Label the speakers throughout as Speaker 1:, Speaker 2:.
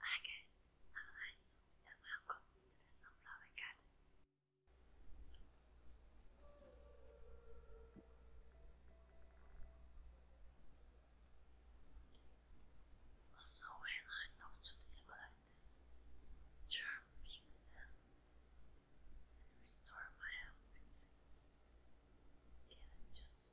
Speaker 1: Hi guys, I'm Hazel and welcome to the Sunflower Garden. Also when I talk to the eucalyptus, charm things and restore my health Yeah, just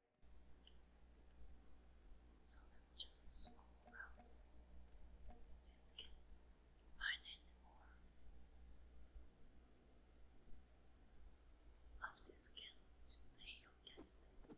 Speaker 1: So let me just going around and see more of this cat today or cats today.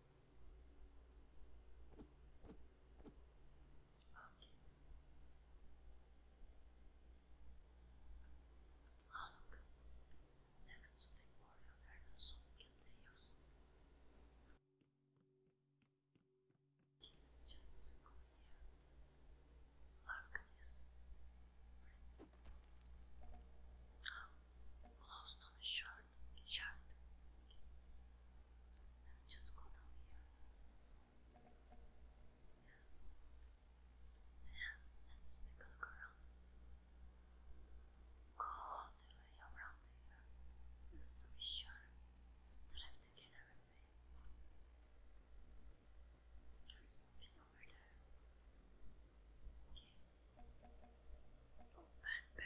Speaker 1: Okay. Ah, look. Next to there are so many Just here. Ah, look at close to the shore sharp. just go down here. Yes. And let's take a look around. Go all the way around here just to be sure that I've taken everything. something over there. Okay. So bad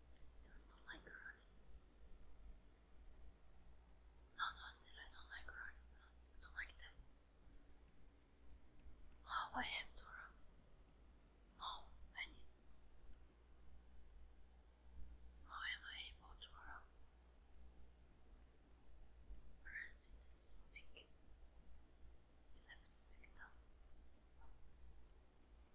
Speaker 1: just don't like running. No, not that I don't like running, don't like that. Oh, I have to run. Oh, I need. How am I able to run? Pressing the stick, left stick down.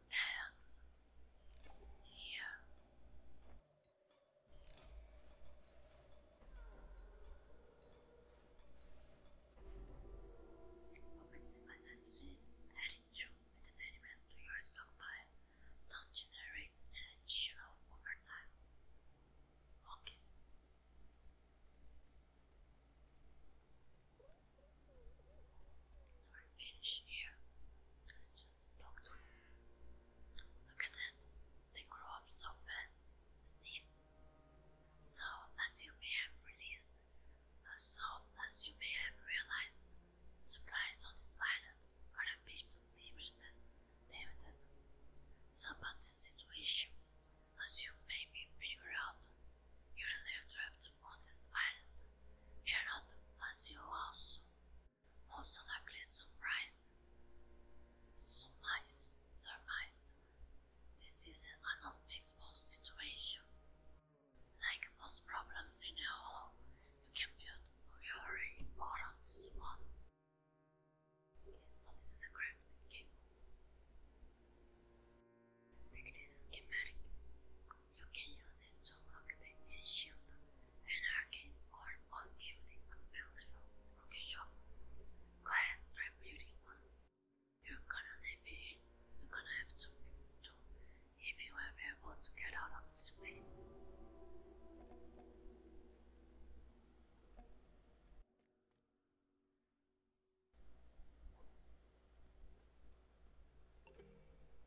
Speaker 1: and here. Opensify that suite, adding true entertainment to your stockpile, don't generate an additional overtime. Okay i here. Let's just talk to him. Look at that. They grow up so fast, Steve. So, as you may have uh, so as you may have realized, supplies on this island are a bit limited. So, about the situation, as you may figure out, you're really trapped on this island. you as you also also likely some rice, some This is an unfixable situation. Like most problems in a hollow, you can build your way out one. so this is a crafting game. Take this schematic you can use it to locate and shield an or arm of building a beautiful workshop. Go ahead, try building one. You're gonna leave it in. You're gonna have to do if you are able to get out of this place.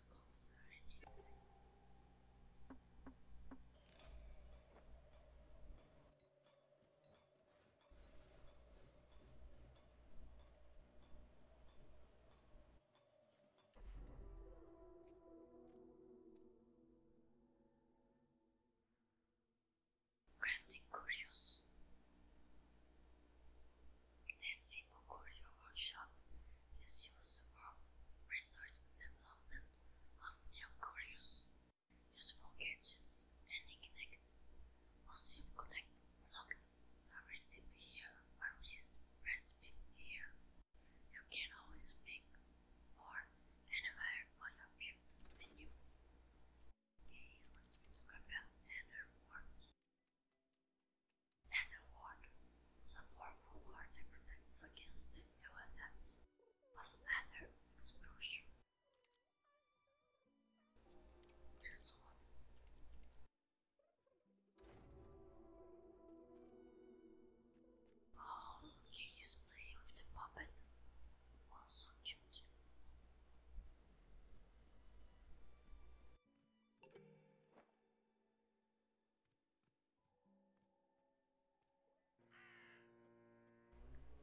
Speaker 1: was closer Curious this simple courier workshop is used for research and development of new couriers, useful gadgets and knickknacks. Once you've collected a recipe here or this recipe here, you can always make more anywhere for your build menu. Okay, let's move to Gravel and and a ward, a powerful ward that protects against the ill effects of matter exposure. Oh, look, he's playing the puppet. Oh, so cute.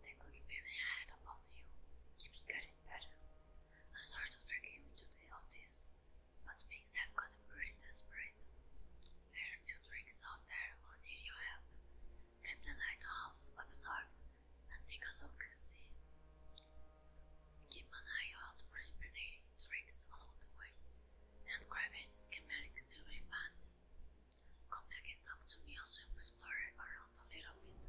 Speaker 1: The good I had about you keeps getting better. I sort of forgave you today on this, but things have gotten pretty desperate. There's two tricks out there who need your help. Tap the lighthouse up north and take a look and see. Keep an eye out for impregnating tricks along the way and grabbing schematic survey fund. Come back and talk to me also if explore around a little bit.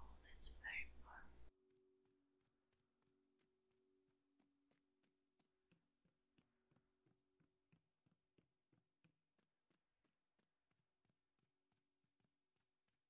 Speaker 1: Oh, that's very far.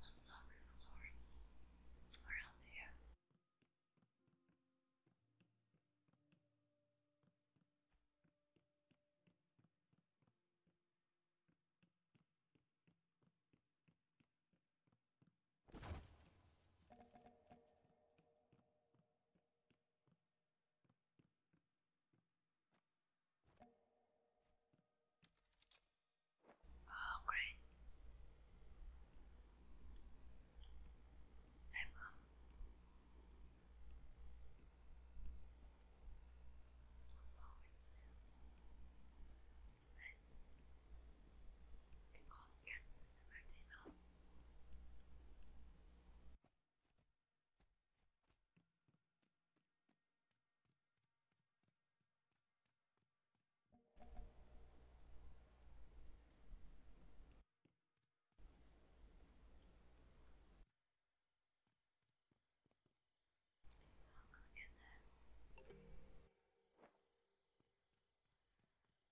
Speaker 1: Lots of resources around here. Oh, great. Hey, Oh, it's nice and contact Smyrna. I'm gonna get there.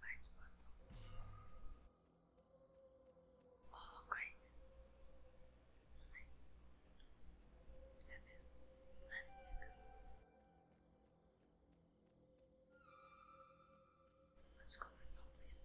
Speaker 1: Right Oh, great. That's nice. Have you nine seconds? Let's go for some place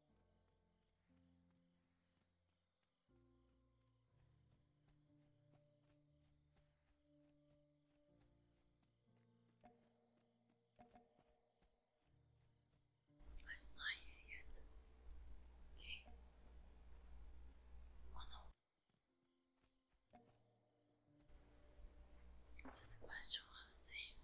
Speaker 1: I not here yet. Okay. Oh Just a question of seeing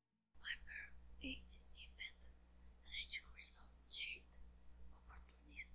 Speaker 1: Number 8. Invento. Analítico, missão, jeito, oportunista.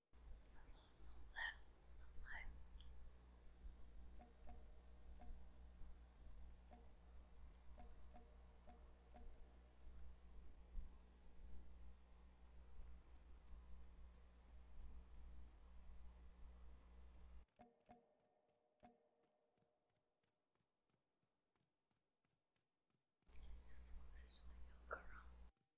Speaker 1: also left some life. just wanted to take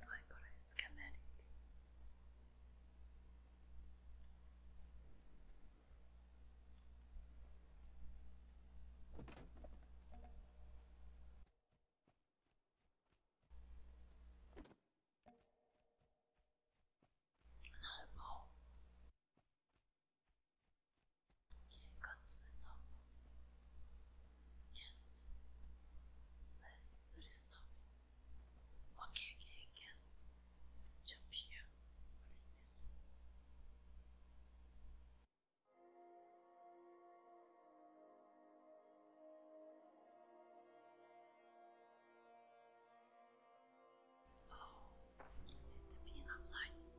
Speaker 1: i got a schematic. No more. You got no Yes. Let's do this Okay, okay, I guess. Jump here. What is this? Oh, see the beam of lights.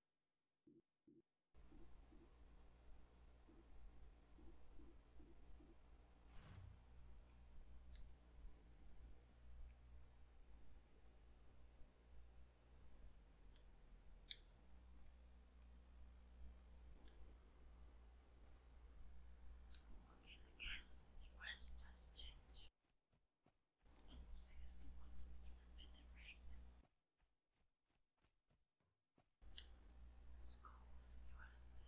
Speaker 1: Okay, I guess the quest does change. Oh, seriously, what's the tournament, right? Schools, university,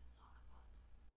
Speaker 1: what's all about? They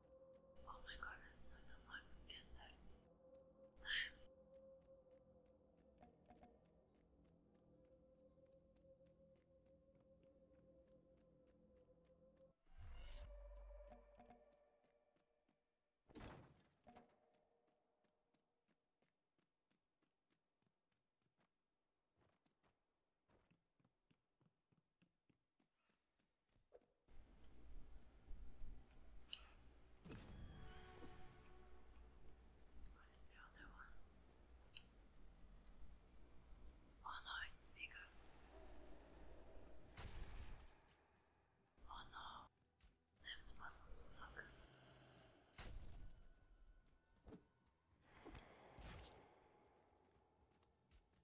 Speaker 1: Oh my god, that's so dumb. I forget that. What's the other one? Oh no, it's bigger. Oh no, left button's block.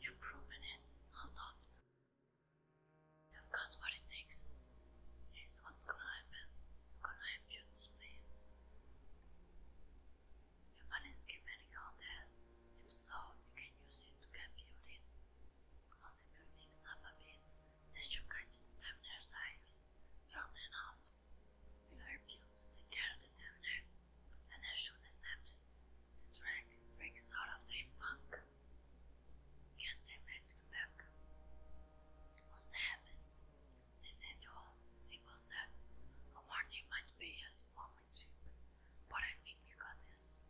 Speaker 1: You've proven it, no doubt. You've got what it takes. Here's what's gonna happen. I'm gonna empty this place. You find a schematic out If so, you can use it to get building. I'll simple things up a bit. That should catch the terminal science. Drown them out. We are built to take care of the terminal and as soon as that, the track breaks out of the funk. Get them ready to come back. Once the happens, they send you home. Simple as that. A warning might be a moment trip, but I think you got this.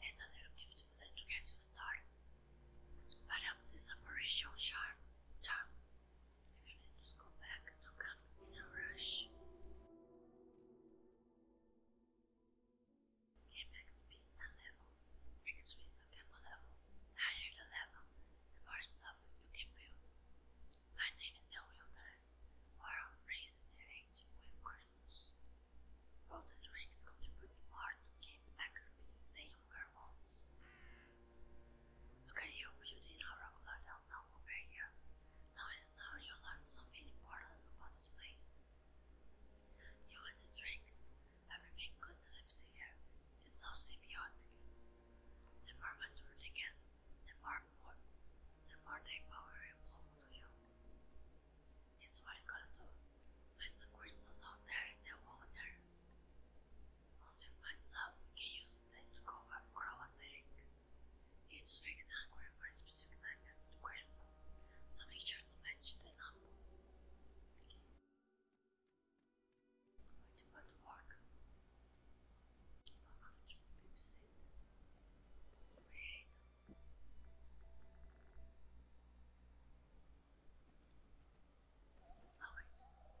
Speaker 1: It's a little gift for them to get you started. But I'm this operation charm, charm. If you need to go back to come in a rush. Game XP a level, makes Swiss a gamble level. Higher the level, the more stuff you can build. Finding in the wilderness or raise the age with crystals. All the rings contribute more to game XP than younger ones. Look at you building a regular down over here. Now it's time you learn something important about this place. You and the drinks, everything good lives here. It's so symbiotic. The more mature they get, the more, more the more they power it flow to you. It's what you gotta do. Find some crystals out there in the waters. Once you find some, you can use them to grow a drink. Each face hungry for a specific type of crystal, so make sure to match the number. Which might work. If I could just babysit. Wait. Oh, wait, this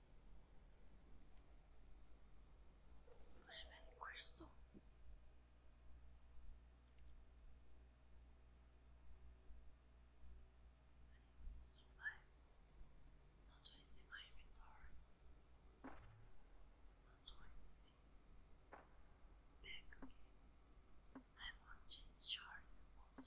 Speaker 1: I have any crystal? I need survive. How do I see my inventory? How do I see? Back again. I have one chain shard and one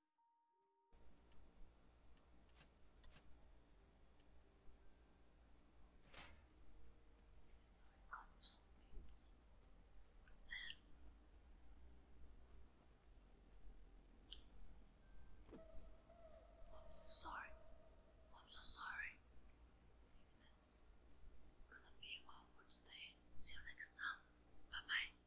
Speaker 1: So i got some bits I'm sorry. I'm so sorry. I gonna be all for today. See you next time. Bye bye.